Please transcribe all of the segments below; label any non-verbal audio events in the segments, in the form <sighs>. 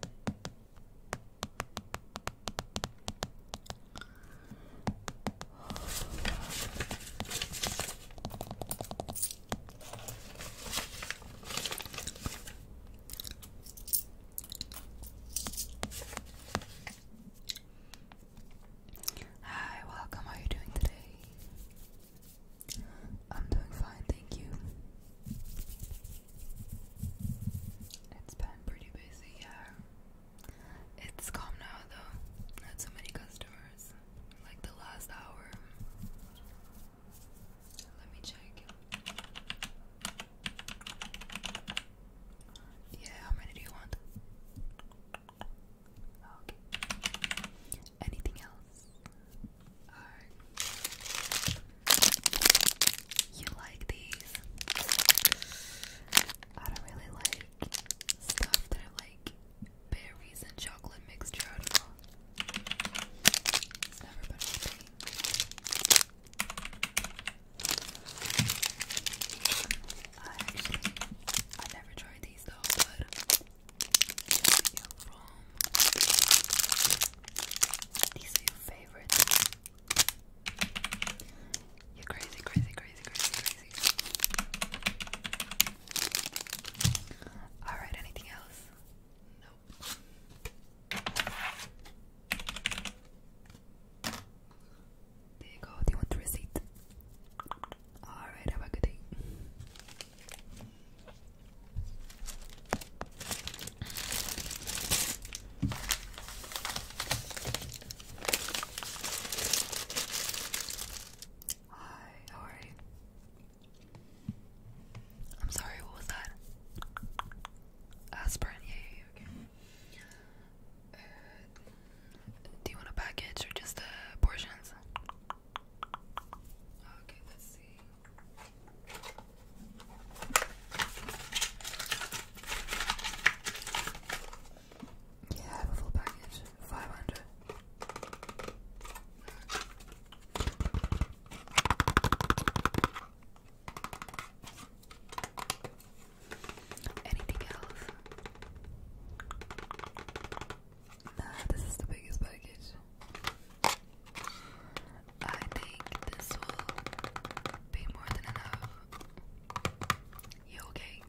Hi, welcome. How are you doing today? I'm doing fine, thank you. It's been pretty busy, yeah. It's calm now though. Not so many customers. Like the last hour. Let me check. Yeah, how many do you want? Okay. Anything else? You like these? I don't really like stuff that are like berries and chocolate mixture. It's never been my I actually, I never tried these though, but these are your favorites. You're crazy, crazy, crazy, crazy, crazy. Alright, anything else? Nope. There you go. Do you want the receipt? Alright, have a good day. Hi, how are you? I'm sorry, what was that? Aspirin, yeah, okay. Uh, do you want a package or just the uh, portions? Okay, let Yeah, full package. Five hundred. Anything else? this is the biggest package. I think this will be more than enough. You okay?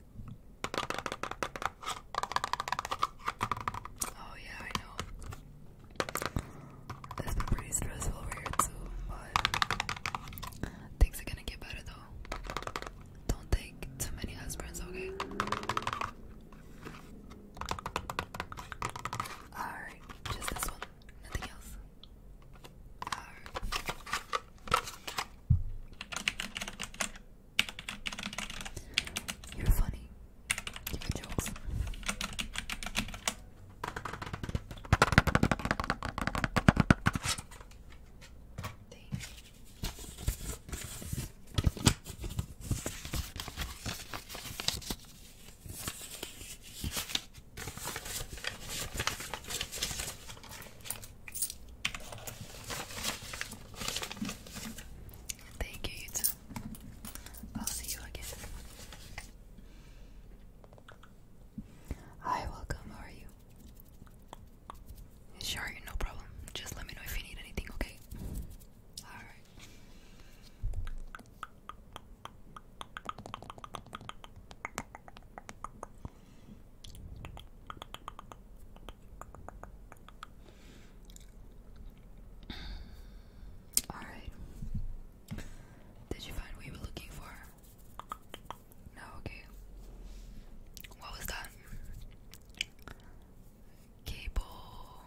Oh yeah, I know. It's been pretty stressful over here too, but things are gonna get better though. Don't take too many husbands, okay? Alright, just this one, nothing else. You're funny. You good jokes. Thanks. Thank you, YouTube. I'll see you again. Hi, welcome. How are you? Sure, no problem. Just let me know if you need anything, okay? Alright. Alright. Did you find what you were looking for? No, okay. What was that? cable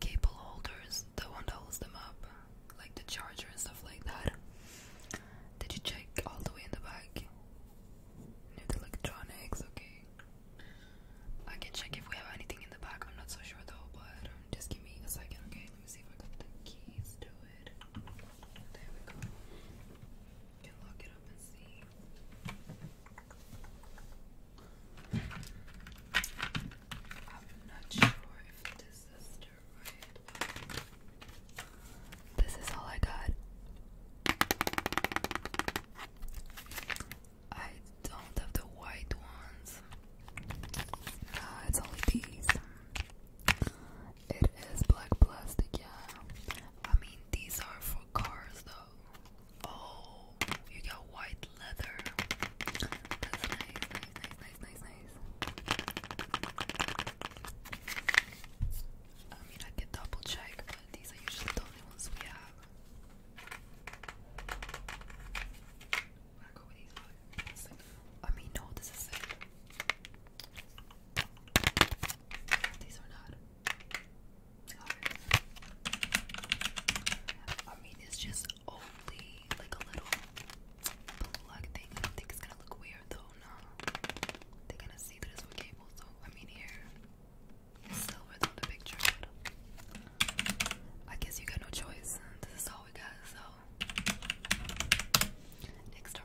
cable holders, the one that holds them up, like the charger and stuff like that. Did you check all the way in the back? Near electronics, okay. I can check if we have anything in the back. I'm not so sure though, but um, just give me a second, okay? Let me see if I got the keys to it. There we go. can lock it up and see this is all I got. I don't have the white ones. it's only these. It is black plastic, yeah. I mean, these are for cars though. Oh, you got white leather. That's nice, nice, nice, nice, nice, I mean, I can double check, but these are usually the only ones we have. I mean, no, this is it. These are not hard. I mean, it's just only like a little plug thing. I don't think it's gonna look weird though. No, they're gonna see that it's with cable. So I mean, here it's silver on the picture. I guess you got no choice. This is all we got. So next up,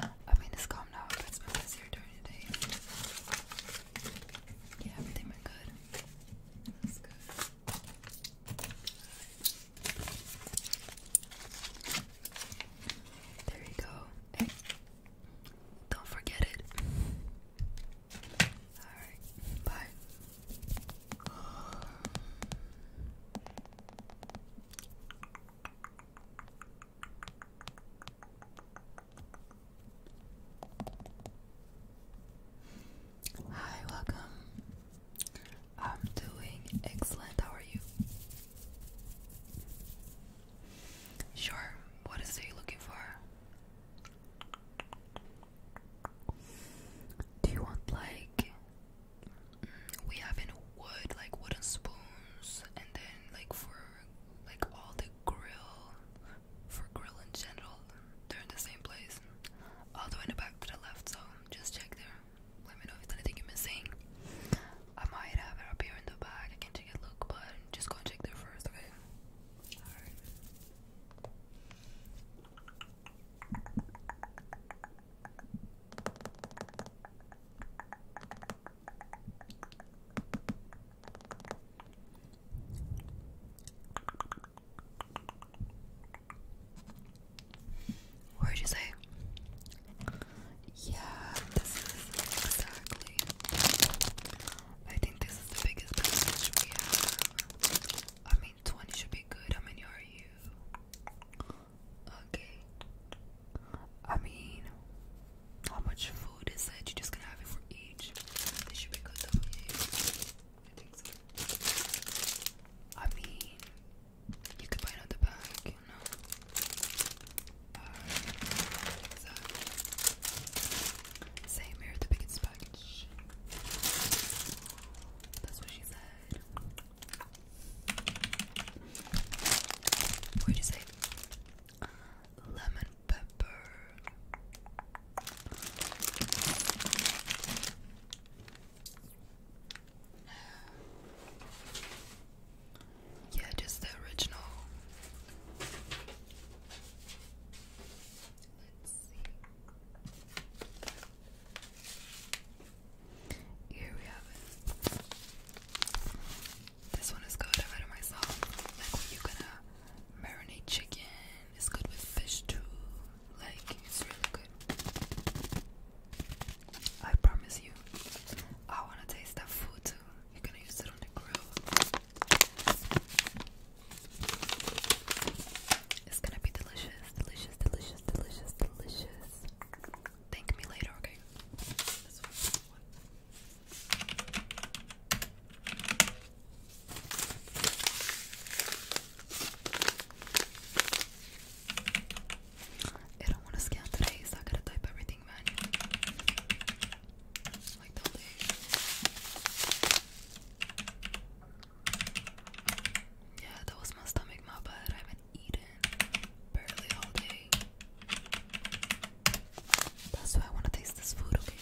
I mean, it's calm now. It's been busier during the day. Yeah, everything went good. That's good. There you go. don't forget it. Alright, bye. Hi, welcome. I'm doing excellent. How are you? Sure. What is it you looking for? Do you want like mm, we have in wood, like wooden spoons, and then like for like all the grill for grill in general, they're in the same place. All in the back to the left, so just check there. Let me know if there's anything you're missing. I might have it up here in the back. I can take a look, but just go check there first, what did you say? Yeah, this is exactly. I think this is the biggest message we have. I mean, 20 should be good. How many are you? Okay. I mean, how much food is that? You're just gonna have it for each. This should be good though. I think so. I mean, you could buy another bag, you know. Same here, the biggest package. That's what she said. What is it? Uh, lemon pepper. Yeah, just the original. Let's see. Here we have it. This one is good. I've had it myself. Like you gonna marinate chicken. It's good with fish too. Like it's really good. I promise you. I wanna taste that food too. You're gonna use it on the grill. It's gonna be delicious, delicious, delicious, delicious, delicious thank me later, okay? I don't want to scan today, so I gotta type everything manually. Yeah, that was my stomach, my bad. I have eaten barely all day. That's why I want to taste this food, okay?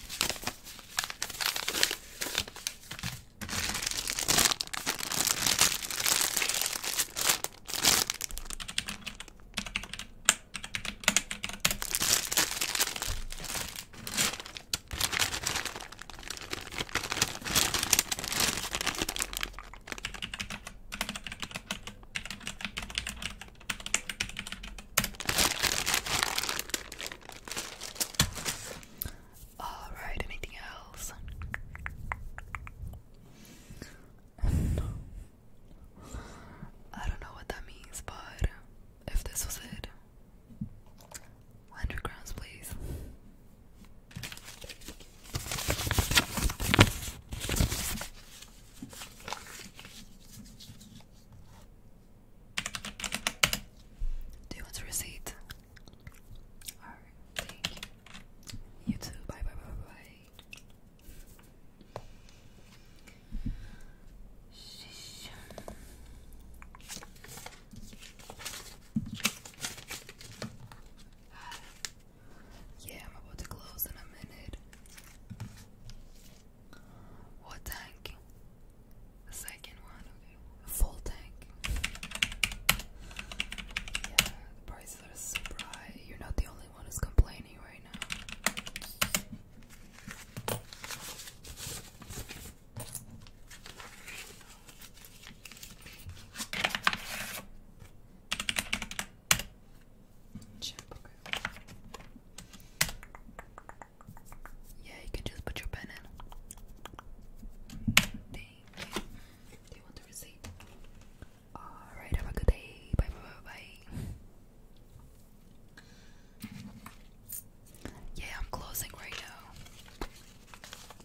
All right, anything else? <laughs> I don't know what that means, but if this was it, 100 grams, please. Do you want a receipt? Alright, thank you. You too. Bye bye bye bye. bye. <sighs> Yeah, I'm about to close in a minute. What tank? The second one, full tank. Yeah, the prices are super high. You're not the only one who's complaining right now. Yeah, you can just put your pen in. Thank you. want the receipt? Alright, have a good day. bye bye bye. Yeah, I'm closing right now.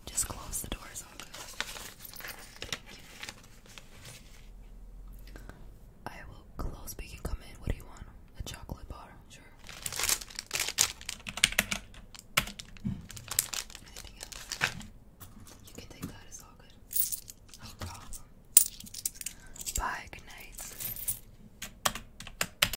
Just close the doors I will close you can come in. What do you want? A chocolate bar? Sure. Anything else? You can take that, it's all good. No oh, problem. Bye, good night.